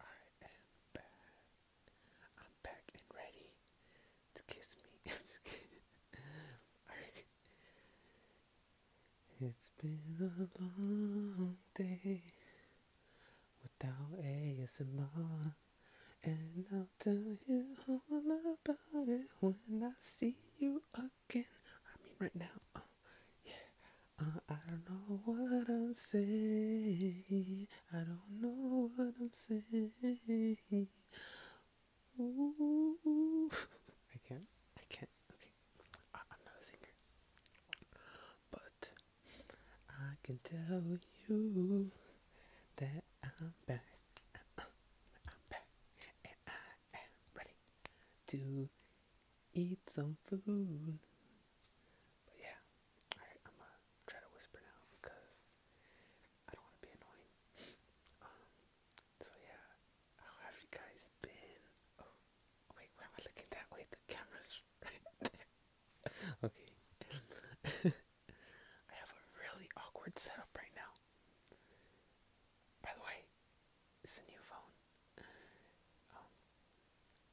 I am back. and ready to kiss me. It's been a long day without ASMR. And I'll tell you all about it when I see you talking. I mean, right now, uh, yeah. Uh, I don't know what I'm saying. I don't know what I'm saying. Ooh. I can't. I can't. Okay. I, I'm not a singer. But I can tell you that I'm back. Uh, I'm back. And I am ready to eat some food. But yeah, alright, I'm gonna try to whisper now because I don't want to be annoying. Um, so yeah, how have you guys been? Oh, wait, why am I looking that way? The camera's okay. I have a really awkward setup right now. By the way, it's a new phone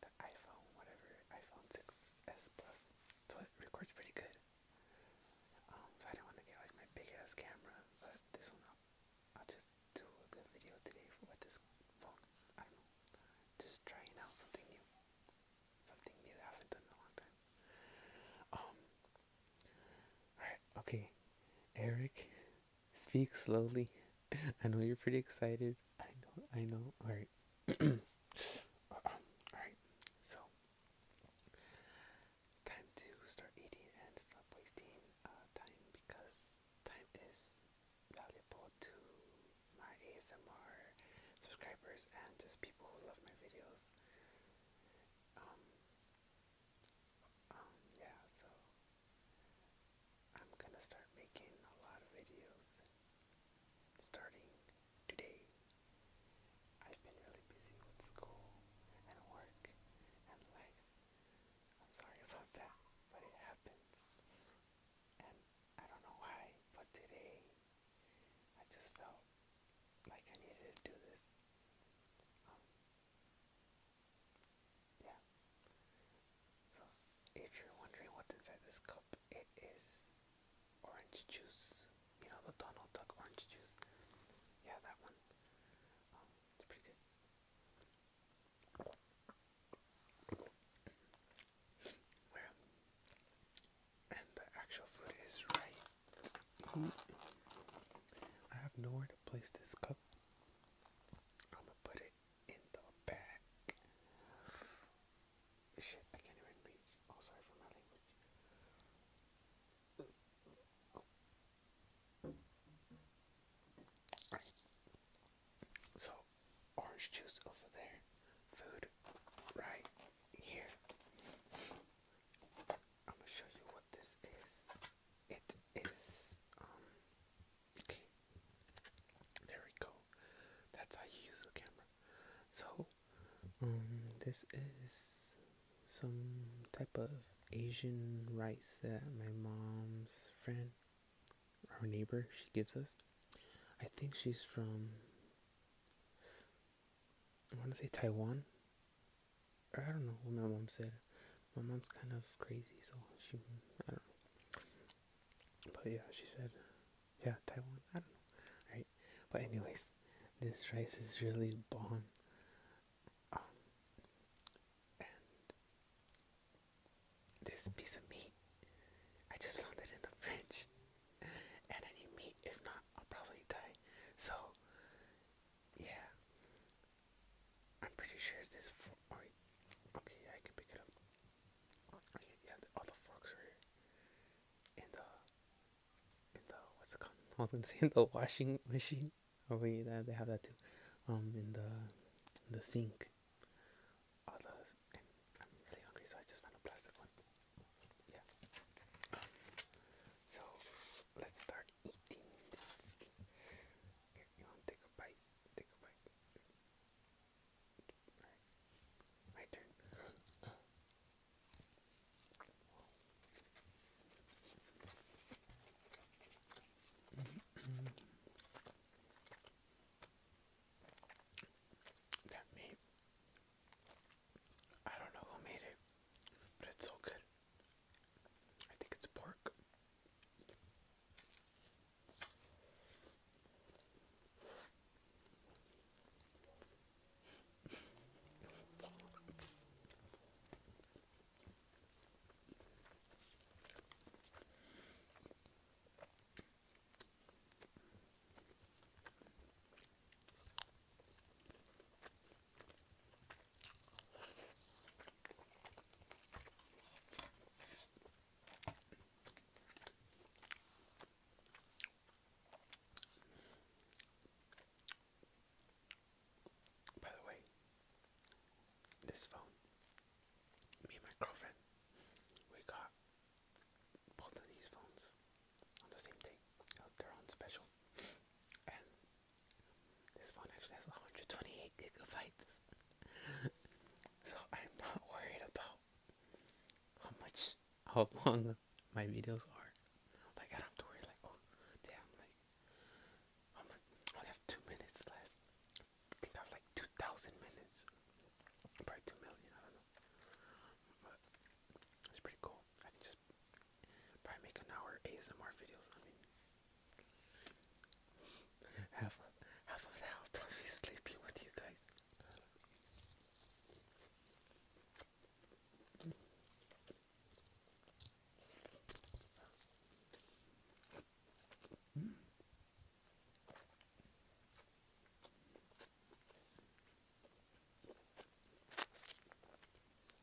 the iPhone, whatever, iPhone 6s Plus, it records pretty good. Um, so I didn't want to get like my big ass camera, but this one, I'll, just do a video today with this phone. I don't know, just trying out something new, something new I haven't done a long time. Um, alright, okay, Eric Speak slowly. I know you're pretty excited. I know, I know. All right. Uh, All right. So, time to start eating and stop wasting uh, time because time is valuable to my ASMR subscribers and just people who love my videos. um, um yeah, so I'm gonna start making a lot of videos starting today. I've been really busy with school and work and life. I'm sorry about that, but it happens. And I don't know why, but today I just felt like I needed to do this. Um, yeah. So, if you're wondering what's inside this cup, it is orange juice. You know, the Donald Duck orange juice. Yeah, that one. Um, it's pretty good. Where? And the actual food is right. Mm. I have nowhere to place this cup. I'm gonna put it in the back. Shit, I can't even reach. Oh, sorry for my language. So, orange juice over there, food right here. I'm gonna show you what this is it is um, okay. There we go. That's how you use the camera. So um, this is some type of Asian rice that my mom's friend our neighbor she gives us. I think she's from I want to say Taiwan. I don't know what my mom said. My mom's kind of crazy, so she, I don't know. But yeah, she said, yeah, Taiwan, I don't know, right? But anyways, this rice is really bomb. Um, and this piece of meat, I just found it in the fridge. And I need meat, if not, I'll probably die. So, yeah, I'm pretty sure this fork. Oh, okay, I can pick it up. yeah, all the forks are in the in the what's it called? I was gonna say in the washing machine. Oh wait, that they have that too. Um, in the the sink. All I'm really hungry, so I just found a plastic one. Yeah. So let's start take a bite? Take a bite. My turn. that meat. I don't know who made it, but it's so good. I think it's pork. By the way, this phone, me and my girlfriend, we got both of these phones on the same day. Uh, they're on special, this phone actually has 128 gigabytes. so I'm not worried about how much, how long my videos are. Like I don't worry like, oh damn, like, I have two minutes left. I think I have like 2,000 minutes. Probably 2 million, I don't know. But it's pretty cool. I just just probably make an hour ASMR videos. I mean, half half of that I'll probably be with you guys.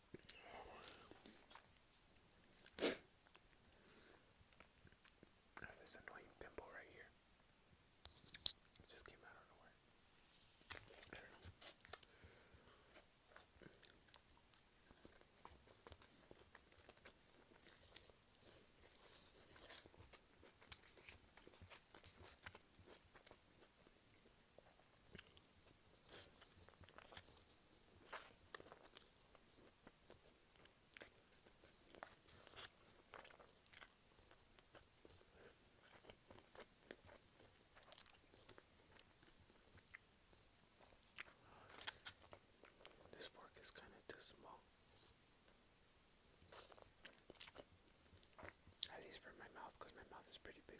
I oh, have this annoying pimple right here. just came out of nowhere. This fork is kind of too small. At least for my mouth, because my mouth is pretty big.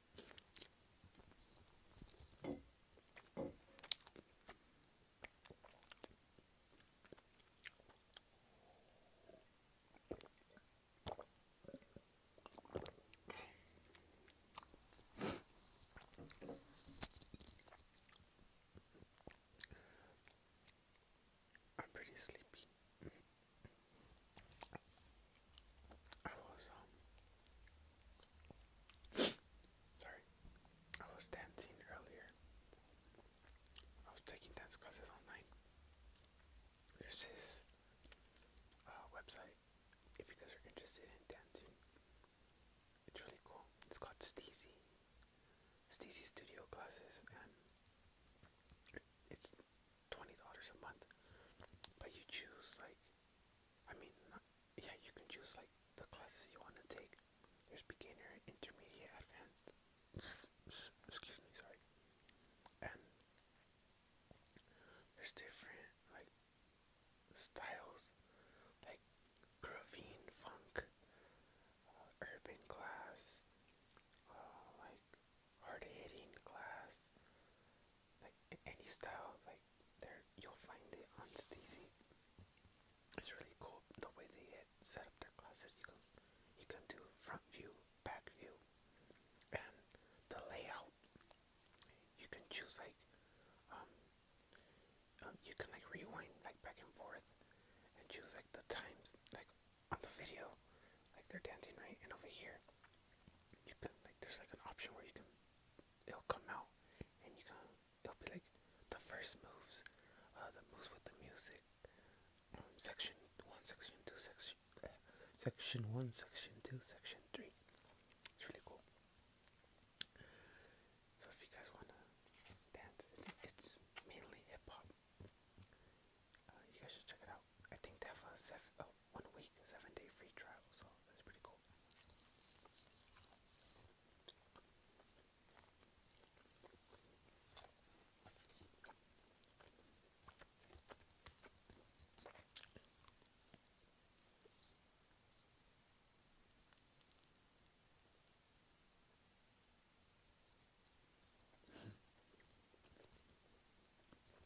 I'm pretty sleepy. I was um sorry. I was dancing earlier. I was taking dance classes online. There's this uh, website if you guys are interested in dancing. It's really cool. It's called Steezy. Steezy Studio Classes it's twenty dollars a month, but you choose like, I mean, not, yeah, you can choose like the classes you want to take. There's beginner, intermediate, advanced. Excuse me, sorry. And there's different like styles, like gravine funk. Uh, urban class, uh, like hard hitting glass, like any style, like there you'll find it on Stacy. It's really cool the way they set up their glasses. You can you can do front view, back view, and the layout. You can choose like um uh, you can like rewind like back and forth and choose like the times like on the video, like they're dancing right, and over here, you can like there's like an option where you can it'll come out, and you can it'll be like the first moves, uh, the moves with the music, um, section one, section two, section uh, section one, section two, section three. It's really cool. So if you guys wanna dance, it's mainly hip hop. Uh, you guys should check it out. I think they have a seven, oh, one week, seven day free trial, so that's pretty cool.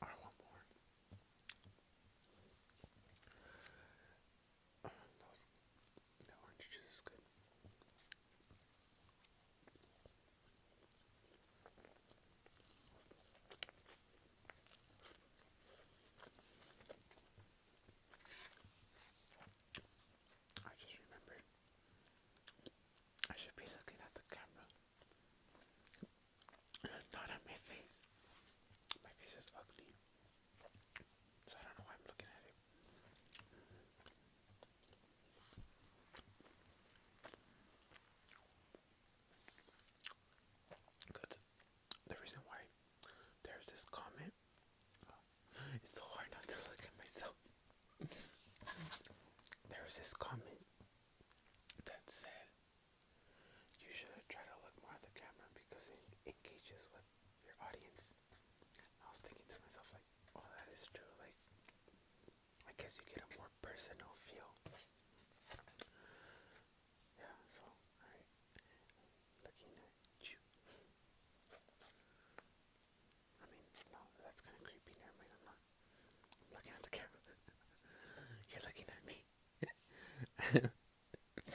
I want more. Oh, those, that orange juice is good. I just remembered I should be looking at the camera not at my face. My face is ugly. So I don't know why I'm looking at it. Cause the reason why there's this comment uh, it's so hard not to look at myself there this comment that said you should try to look more at the camera because it engages with your audience i was thinking to myself like oh that is true like i guess you get a more personal feel yeah, so, Looking at you. I mean, that's kind of creepy. not. I'm looking at the camera. You're looking at me.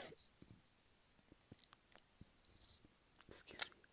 Excuse me.